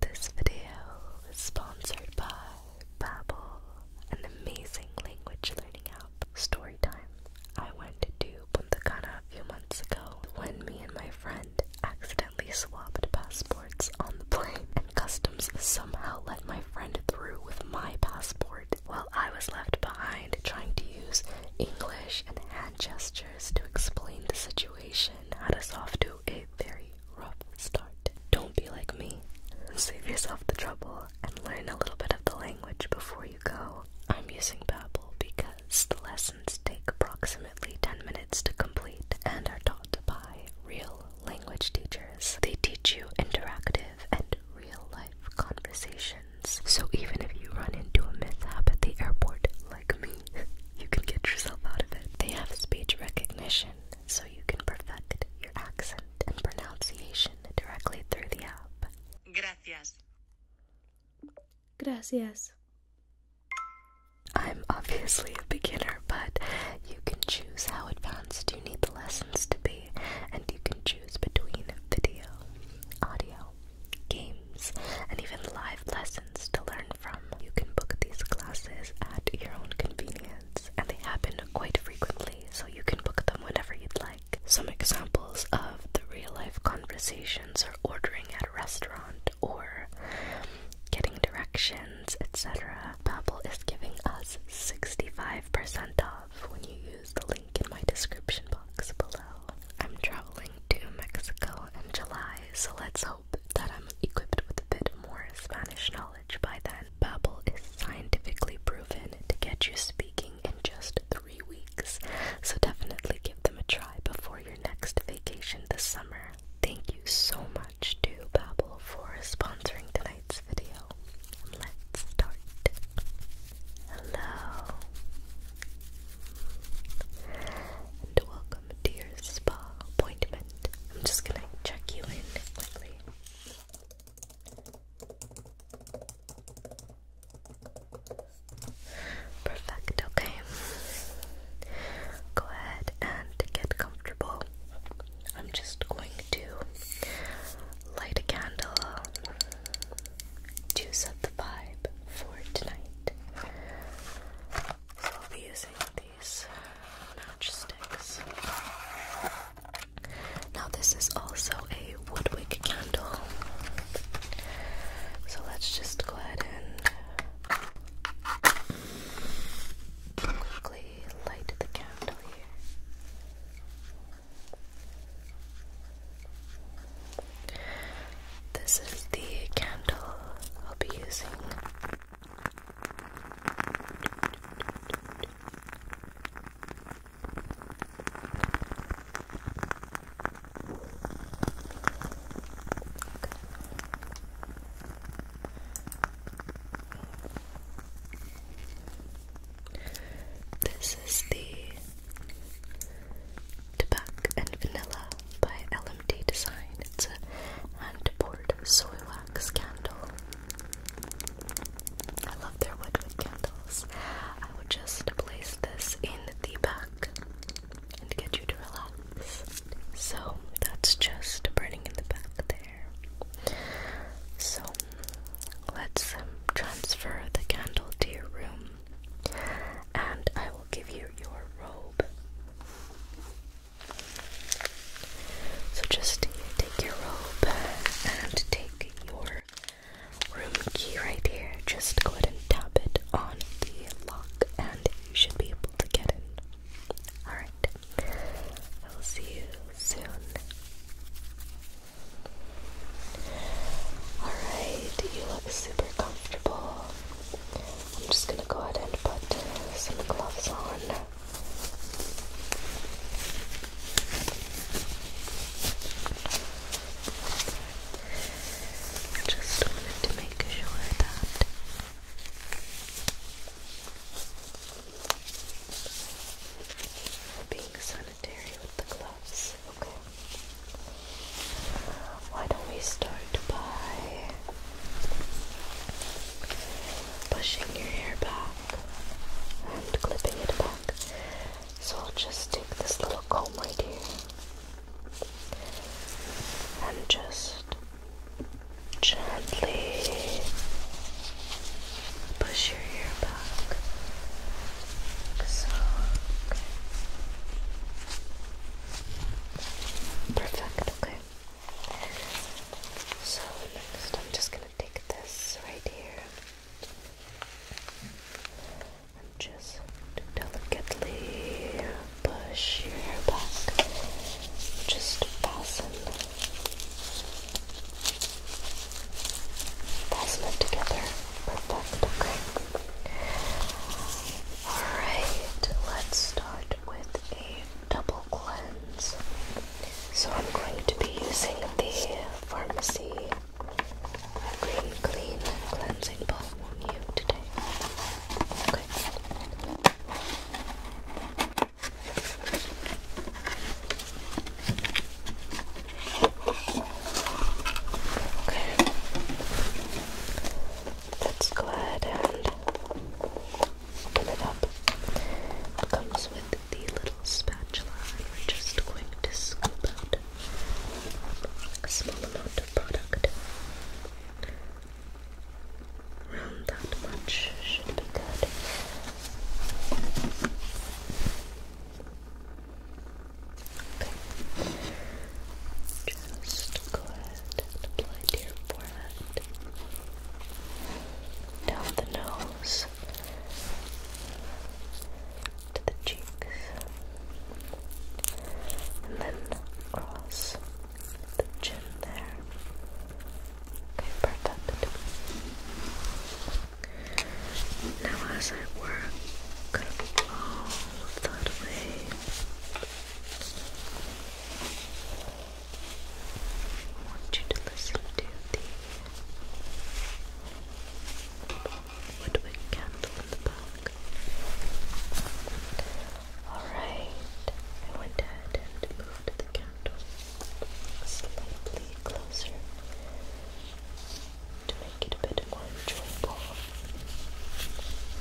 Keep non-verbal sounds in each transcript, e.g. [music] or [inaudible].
This video is sponsored by Babbel, an amazing language learning app. Story time. I went to Punta Cana a few months ago when me and my friend accidentally swapped passports on the plane, and customs somehow let my friend through with my passport while I was left behind trying to use English and hand gestures to explain the situation depression had us off to a very rough start. Don't be like me. Save yourself the trouble and learn a little bit of the language before you go. I'm using Babbel because the lessons take approximately 10 minutes to complete and are taught by real language teachers. They teach you interactive and real life conversations. So even if you run into a mishap at the airport like me, you can get yourself out of it. They have speech recognition, so you can perfect your accent and pronunciation directly through the app. Gracias. Gracias. I'm obviously a beginner, but you can choose how advanced you need the lessons to be, and you can choose between video, audio, game and even live lessons to learn from. You can book these classes at your own convenience, and they happen quite frequently, so you can book them whenever you'd like. Some examples of the real life conversations are ordering at a restaurant or getting directions, etc. Babbel is giving us 65% off when you use the link in my description box below. I'm traveling to Mexico in July, so let's hope that I'm equipped with a bit more Spanish knowledge by then. Babbel is scientifically proven to get you speaking in just three weeks, so definitely give them a try before your next vacation this summer. Thank you so much to Babbel for sponsoring tonight's video. Let's start. Hello. And welcome welcome spa appointment. I'm just gonna check you in quickly. Perfect, okay. Go ahead and get comfortable. I'm just going to light a candle to set the vibe for tonight. So I'll be using these matchsticks. Now, this is also a Woodwick candle. So let's just go ahead and quickly light the candle here. This is the candle I'll be using. This is the tobacco and vanilla by LMD Design. It's a hand poured soy wax candle. I love their woodwick candles. I will just place this in the back and get you to relax. So that's just burning in the back there. So let's um, transfer the candle to your room and I will give you your robe. So just take your robe and take your room key right here. Just go ahead and tap it on the lock and you should be able to get in. Alright. I will see you soon. Alright, you look super comfortable. I'm just going to go ahead and put some gloves on. I just wanted to make sure that we're being sanitary with the gloves, okay? why don't we start by pushing your hair back and clipping it back? So I'll just take this little comb right here and just gently push your hair back. so, Perfect, okay. So, next I'm just going to take this right here and just delicately push your hair back. Just fasten, fasten it together. Perfect, okay? Alright, let's start with a double cleanse. So I'm going to be using the Pharmacy Green Clean Cleansing Balm on you today. Okay let's go ahead and open it up. It comes with the little spatula, and we're just going to scoop out a small amount of product. Around that much should be good. Okay. Just go ahead and apply to your forehead down the nose, to the cheeks, and then across the chin there. Okay, perfect. Now, as I work all that way, I want you to listen to the woodwick candle in the back. Alright, I went ahead and moved the candle slightly closer to make it a bit more enjoyable.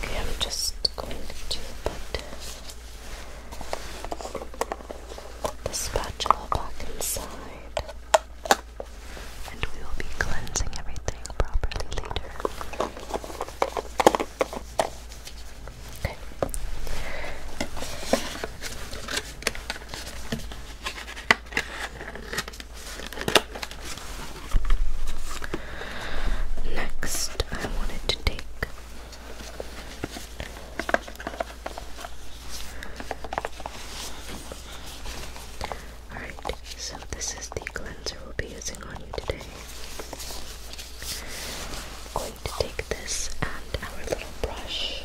Okay, I'm just going to put the spatula back inside, and we will be cleansing everything properly later. Okay. Next, I wanted to take Alright, so this is the cleanser we'll be using on you today. going to take this and our little brush.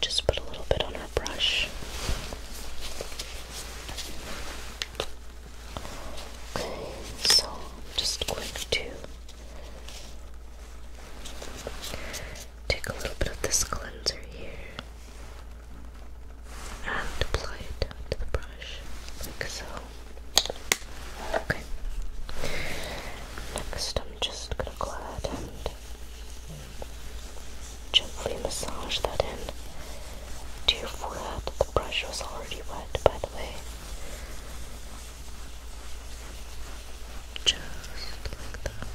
Just put a little bit on our brush. Okay, so just quick to take a little bit of this cleanser here and apply it to the brush like so. Next, I'm just gonna go ahead and gently massage that in Do you your that The brush was already wet, by the way. Just like that.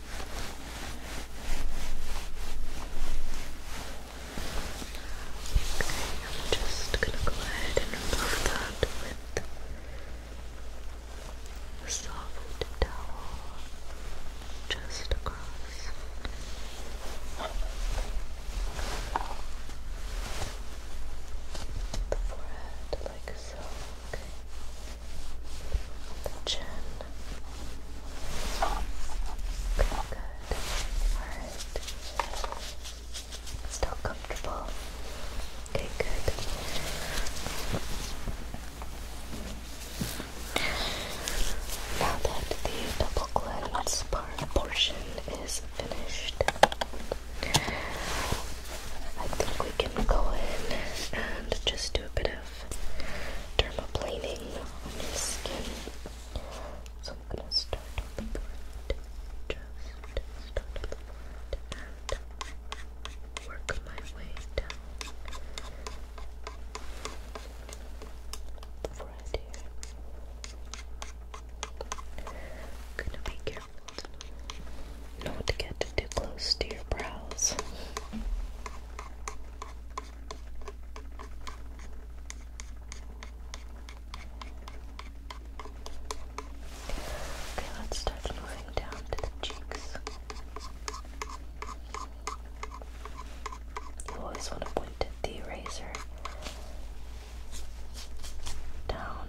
I'm just gonna go ahead and remove that with a soft towel just across. The forehead, like so, okay. The chin, Good, good. Alright. Still comfortable. Okay, good. Now that the double cleanse part portion is finished, I think we can go in and just do a bit of dermaplaning on your skin. So I'm gonna start the front. Just start the front and work my way down. Right here. gonna be careful not to get too close to your brows. Okay, let's start moving down to the cheeks. You always want to point the eraser down.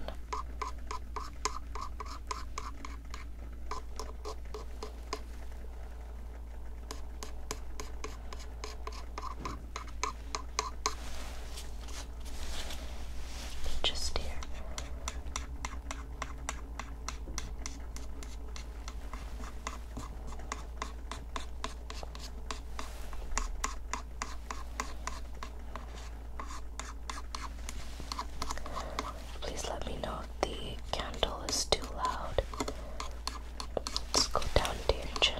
Just here. Please let me know if the candle is too loud. Let's go down to your chin.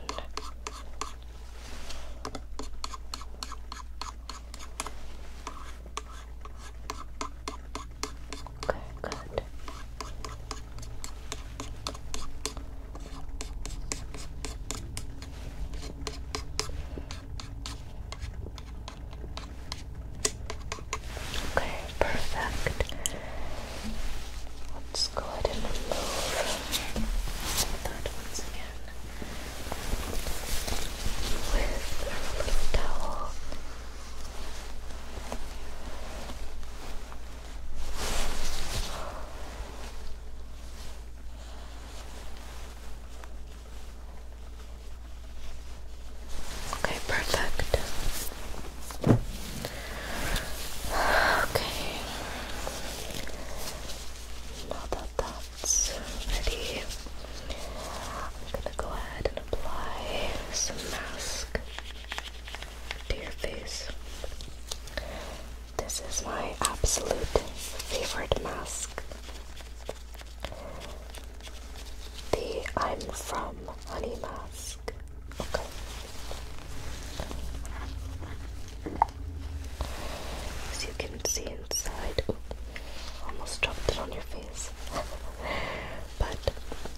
Okay, good. Okay, perfect. Let's go ahead and remove that once again with our little towel. Okay, perfect. Okay. Now that's ready, I'm gonna go ahead and apply some mask to your face. This is my absolute favorite mask. The I'm From Honey Mask mask. As you can see inside, oh, almost dropped it on your face. [laughs] but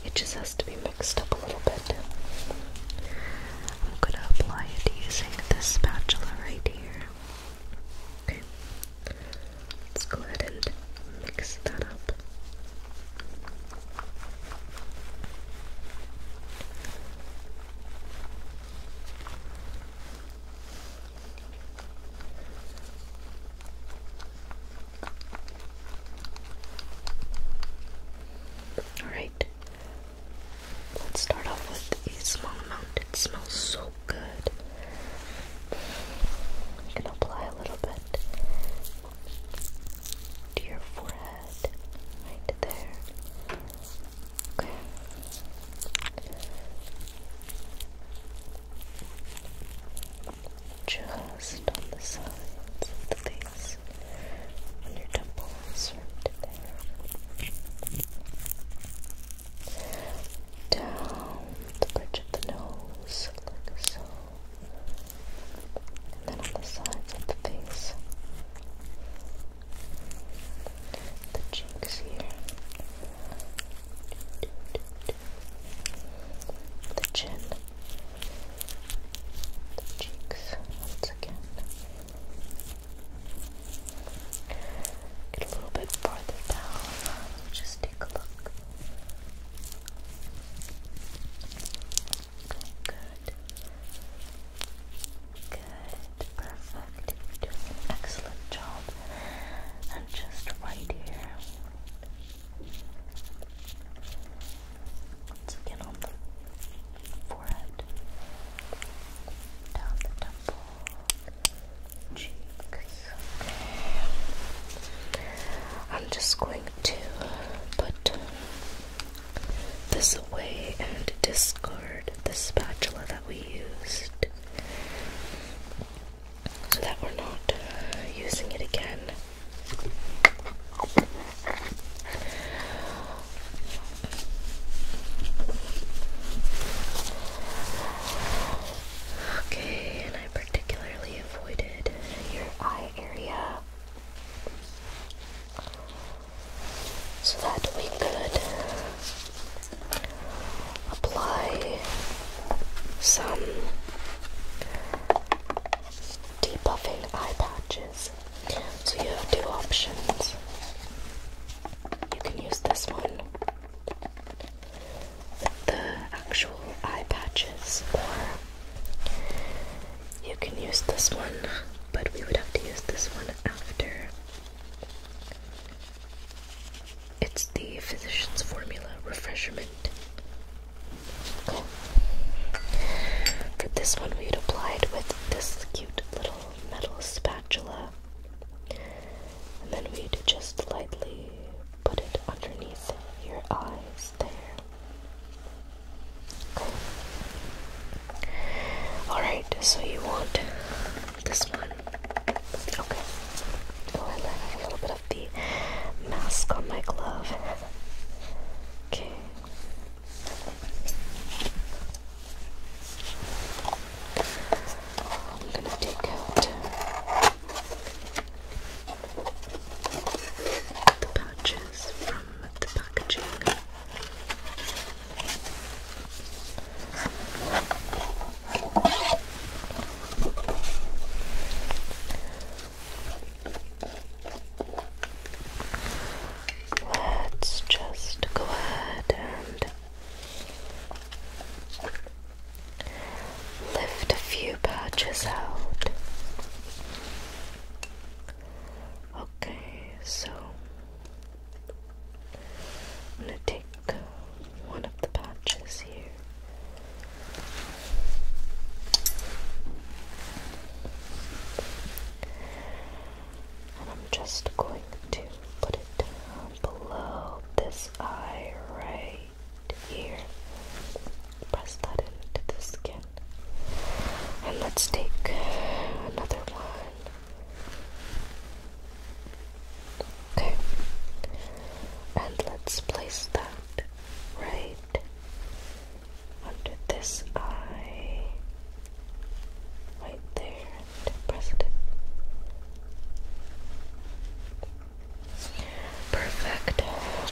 it just has to be mixed up a little bit. I'm gonna apply it using this spatula right here. Okay. Let's go ahead and mix that up. All right, let's start off with a small amount. It smells so good. I'm gonna apply a little bit to your forehead, right there. Okay. Just on the sides of the face, on your temples, right there. Down the bridge of the nose, like so and then on the sides of the face, the cheeks here, the chin, the cheeks once again. Get a little bit farther down. Just take a look. Good. Good. Perfect. excellent job. And just right here. Once again on the forehead. Down the temple. Cheeks. I'm just going to put this away and discard the spatula that we used so that we're not using it again. Okay, and I particularly avoided your eye area so that we could apply some debuffing eye patches. So you have two options. You can use this one with the actual eye patches or you can use this one, but we would have to use this one after. It's the physician's formula refreshment. For this one, we'd applied with this cute little metal spatula, and then we'd just lightly put it underneath your eyes there. Alright, so you want this one. Okay. Oh, I have a little bit of the mask on my glove. Okay. I'm gonna take out the pouches. Let's just go ahead and lift a few patches out. Okay, so I'm going to take one of the patches here. And I'm just going to put it down below this eye right here. Press that into the skin. And let's take another one. Okay. And let's place that right under this eye. Right there. And press it Perfect.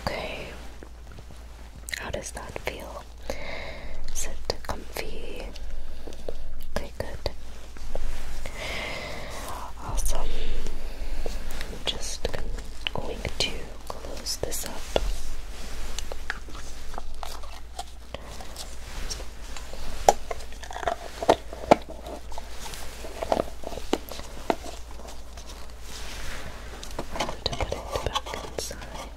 Okay. How does that feel? Sit comfy. Okay, good. Also, I'm just going to close this up. to put it back inside.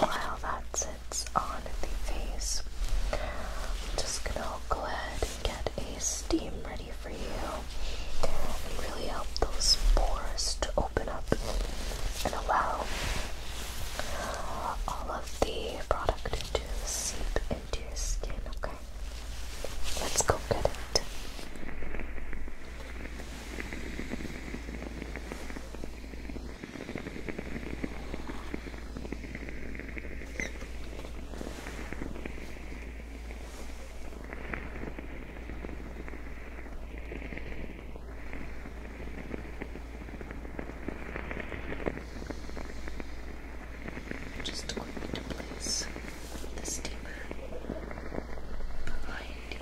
While that sits on the face, I'm just gonna go ahead and get a steam ready for you really help those pores to open up and allow all of the product to seep into your skin, okay? Let's go get it. Just going to place the steamer behind you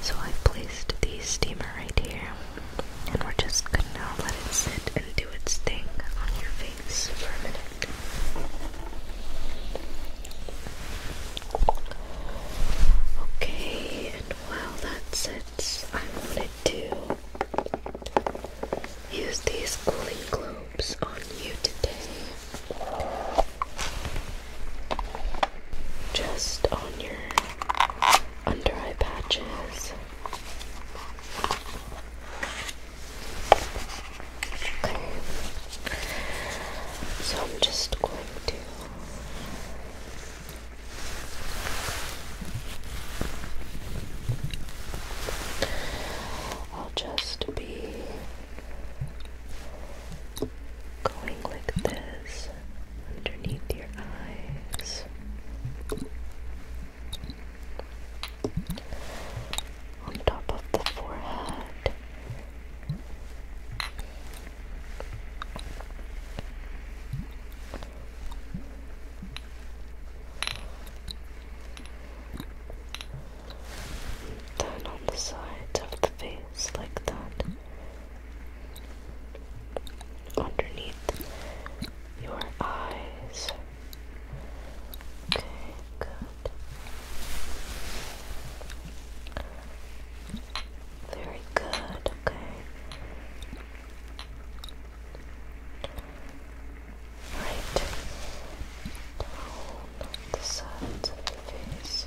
So I have placed the steamer right here, and we're just gonna let it sit and do its thing on your Okay, and while that sets, I wanted to use these cooling globes on you today. Just on your under eye patches. Okay. So I'm just going to I'll just be going like this underneath your eyes on top of the forehead. Then on the sides of the face, like that. Underneath your eyes. Okay, good. Very good, okay. Right. Down the sides of the face.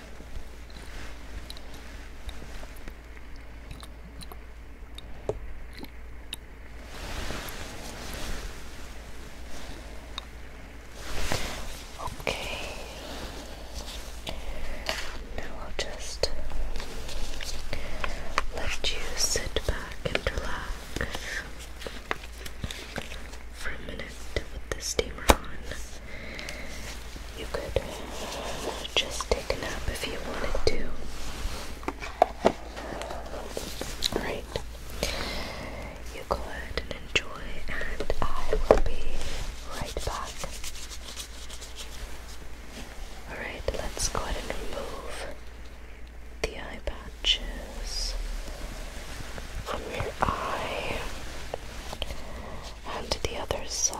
Okay. Now I'll just let you sit back and relax for a minute with the steamer on. You could just take a nap if you wanted to. Alright. You go ahead and enjoy, and I will be right back. Alright, let's go ahead and remove the eye patches from your eye and to the other side.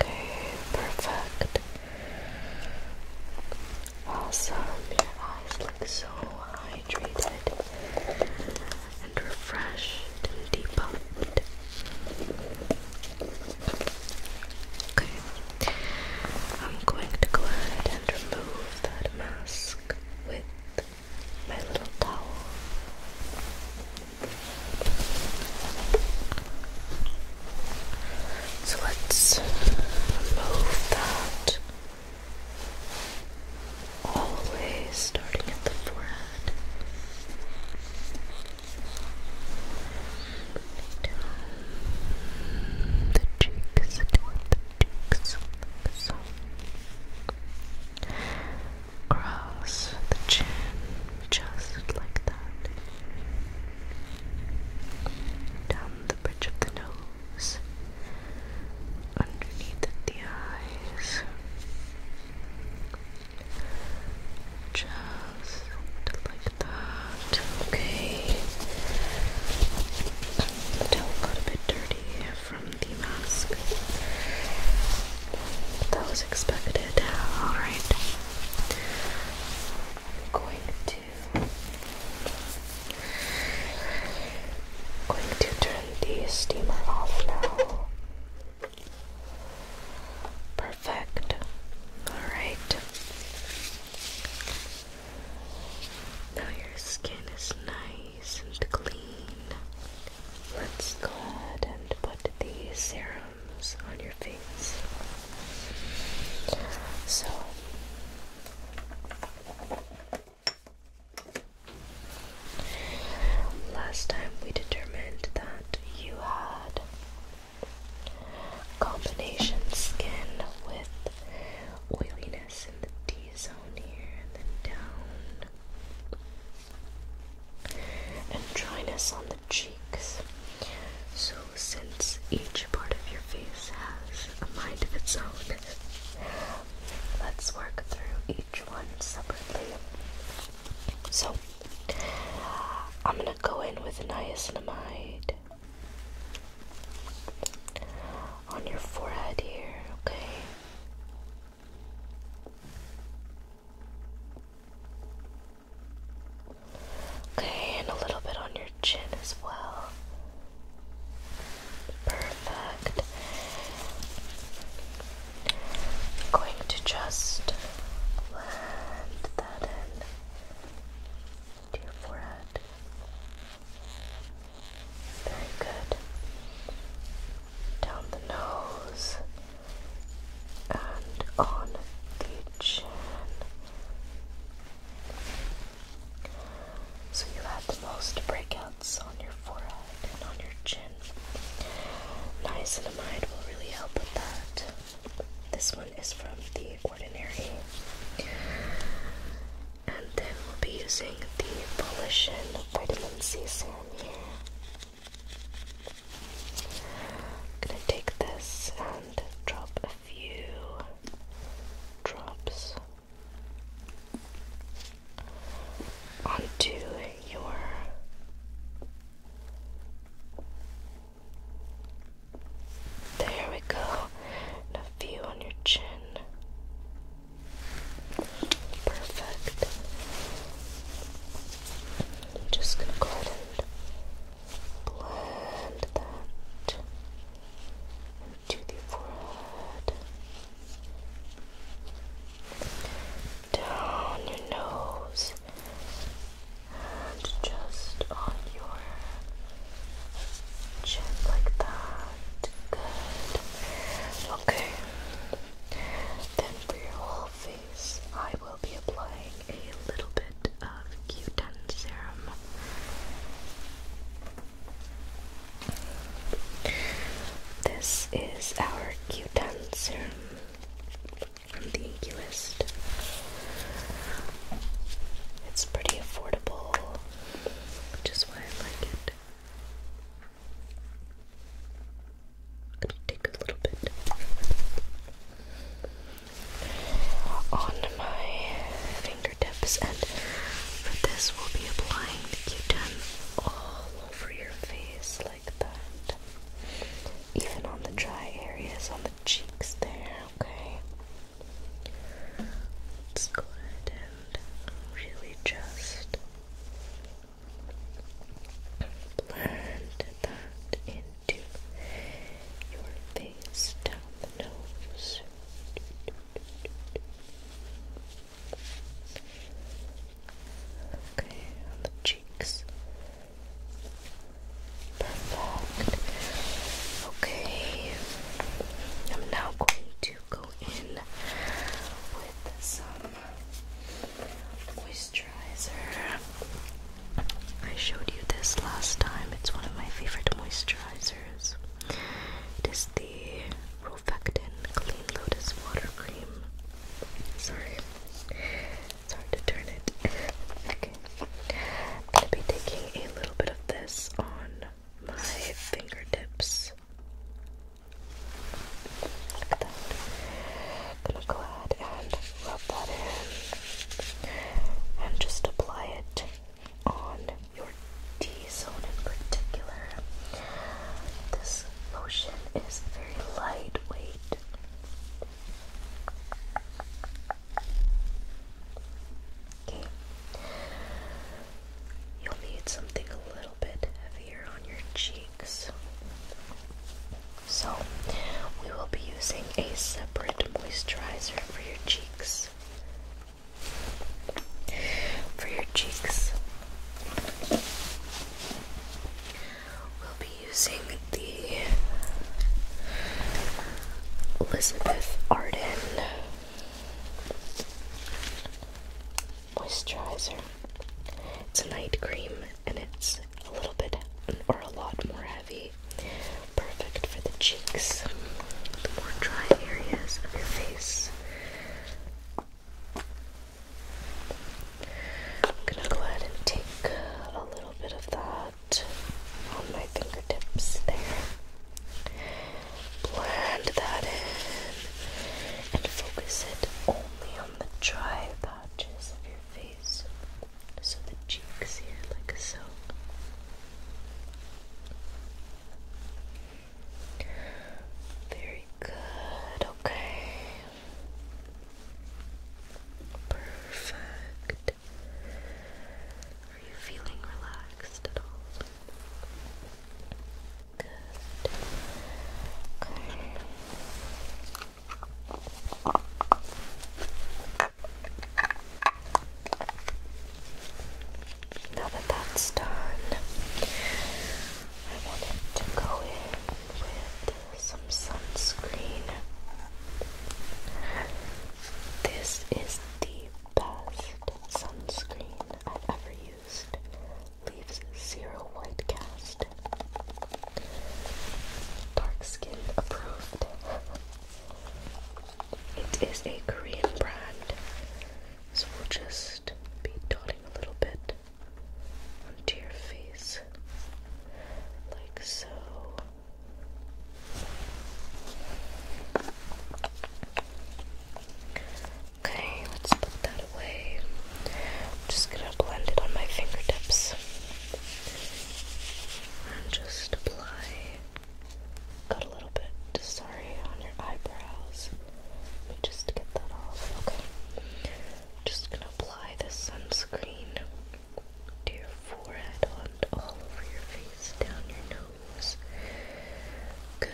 Okay, perfect. Awesome. Your eyes look so hydrated and refreshed and depuffed. Okay, I'm going to go ahead and remove that mask with my little towel. So let's remove that all the way, starting at the forehead. the cheeks, the cheeks, like so. Cross the chin just like that. Down the bridge of the nose, underneath the eyes, just like that. Okay. The towel got a bit dirty the mask. That was expected. Alright. going to going to turn the steamer off now. Perfect. Alright. Now your skin is nice nice clean. Let's go ahead and put the serums on your face. So, last time we determined that you had combination skin with oiliness in the deep zone here and then down. And dryness on the cheeks. So, since each part of your face has a mind of its own, let's work through each one separately. So, I'm gonna go in with niacinamide on your forehead here, okay? Okay, and a little bit on your chin as well. Perfect. going to just blend that in to your forehead. Very good. Down the nose and on the chin. So you had the most breakouts on your forehead and on your chin. Niacinamide will really help with that. This one is from The Ordinary. And then we'll be using the Volition Vitamin C Serum I'm gonna take this and drop a few drops onto your there we go a few on your chin Perfect. I'm just gonna go blend that into the forehead, down your nose, and just on your chin like that. Good. Okay. Then for your whole face, I will be applying a little bit of Q10 serum. This is our Q10 serum from the Inky It's pretty affordable, which is why I like it. Gonna take a little bit on my fingertips, and for this, we'll be applying the Q-tip all over your face like that, even on the dry areas on the cheeks there. Okay. Let's go ahead and really just Blend that into your face down the nose. Okay, on the cheeks. Perfect. Okay, I'm now going to go with some moisturizer. I showed you this last time. It's one of my favorite moisturizers. It is the Profectin Clean Lotus Water Cream. Sorry. It's hard to turn it. Okay. I'm gonna be taking a little bit of this on my fingertips eyes. that. Gonna go ahead and rub that in and just apply it on your T zone in particular. This lotion is very lightweight. Okay. You'll need something a little bit heavier on your cheeks. So, we will be using a separate moisturizer for your cheeks. For your cheeks, we'll be using the Elizabeth Arden moisturizer. It's a night cream and it's a little bit or a lot more heavy. Perfect for the cheeks, the more dry areas of your face. I'm gonna go ahead and take a little bit of that on my fingertips there blend that in and focus it only on the dry patches of your face. So the cheeks here, like so. Very good, okay. Perfect. Are you feeling relaxed at all? Okay. Now that that's done, I wanted to go in with some sunscreen. This is the best sunscreen I've ever leaves zero white cast. Dark skin approved. It is a Korean brand, so we'll just be dotting a little bit onto your face, like so. Okay, let's put that away. I'm just gonna blend it on my fingertips and just apply. Got a little bit, sorry, on your eyebrows. Let me just get that off. Okay, just gonna apply the sunscreen to your forehead and all over your face, down your nose. Good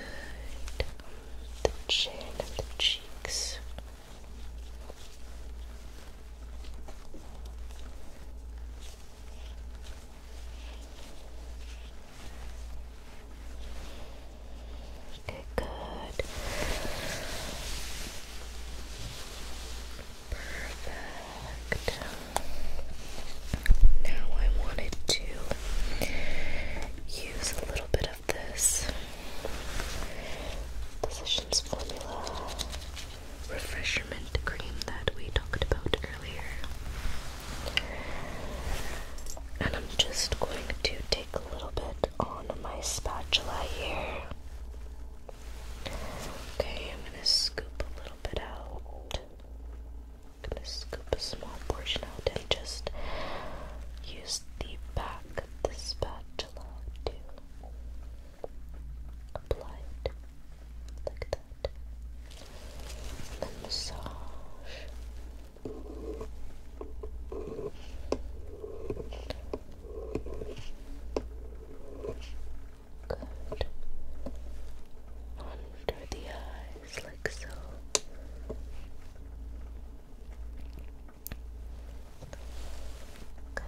the chin and the cheeks. Okay, good. Perfect. Now I wanted to use a little bit this positions Formula refreshment cream that we talked about earlier. And I'm just going to take a little bit on my spatula here. Okay, I'm gonna scoop a little bit out. I'm gonna scoop a small portion out and just use the back of the spatula to apply it like that. Then massage. Good. Under the eyes, like so good.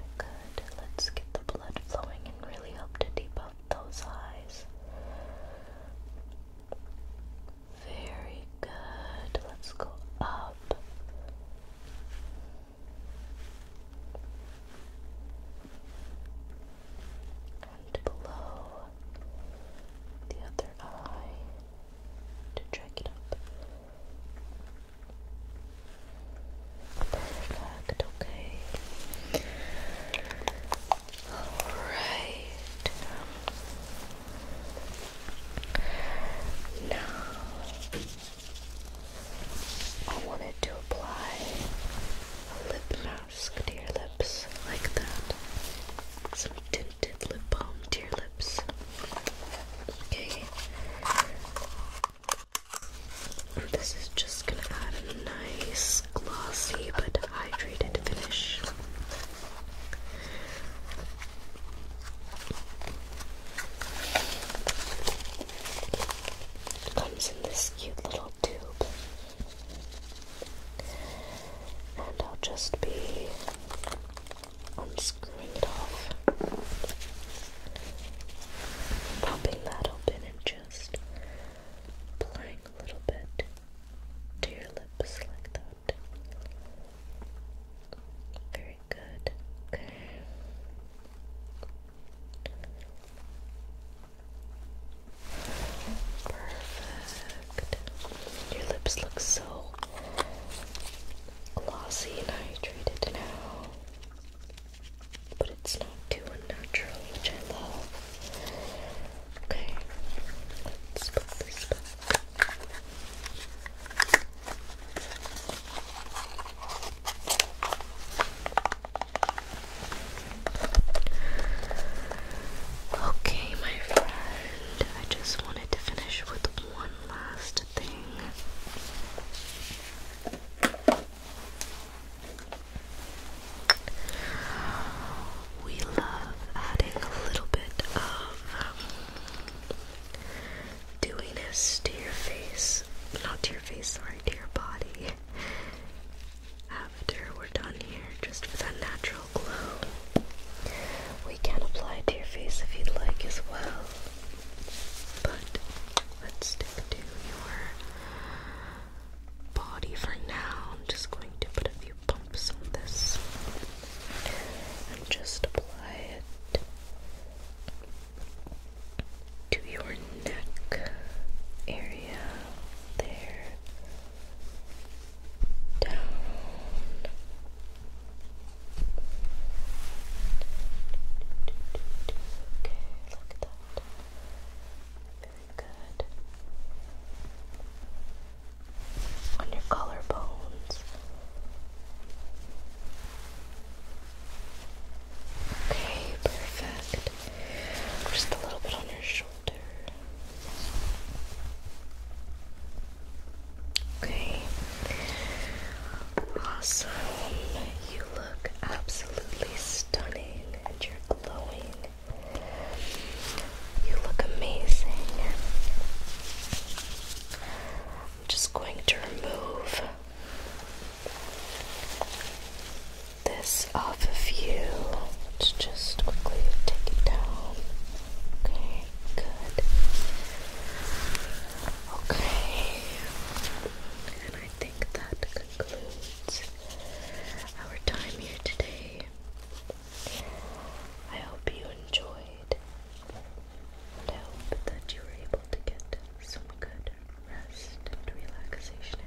Let's get the blood flowing and really help to debuff those eyes. Very good. Let's go up. And below the other eye to drag it up. Perfect, okay. Alright. Now I wanted to apply a lip mask to your lips like that. So lip balm to your lips. Okay. This is just gonna add a nice glossy but hydrated finish. comes in this cute little tube. And I'll just be I'm screwing it off. Popping that open and just applying a little bit to your lips like that. Very good. Okay. Perfect. Your lips look so glossy and hydrated now. But it's not too unnatural, which I love. Okay, let's put this back. Okay, my friend, I just wanted to finish with one last thing. We love adding a little bit of um, dewiness to your face. Not to your face, sorry, to your body. After we're done here, just for that natural we can apply it to your face if you'd like as well. But let's stick to your body for now. I'm just going to put a few bumps on this and just apply it to your neck area there down. Okay, look at that. Very good. On your collarbones. Okay, perfect. Just a little bit on your shoulder. Okay. Awesome. You look absolutely stunning and you're glowing. You look amazing. I'm just going to remove this off of you. Let's just quickly take it down. Okay good. Okay, and I think that concludes our time here today. I hope you enjoyed, and hope that you were able to get some good rest and relaxation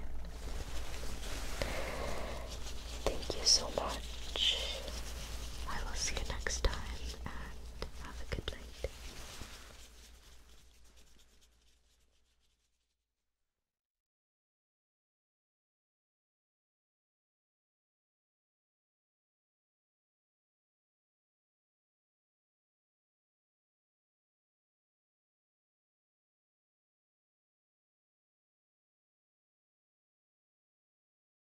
Thank you so much. I will see you next time and have a good night.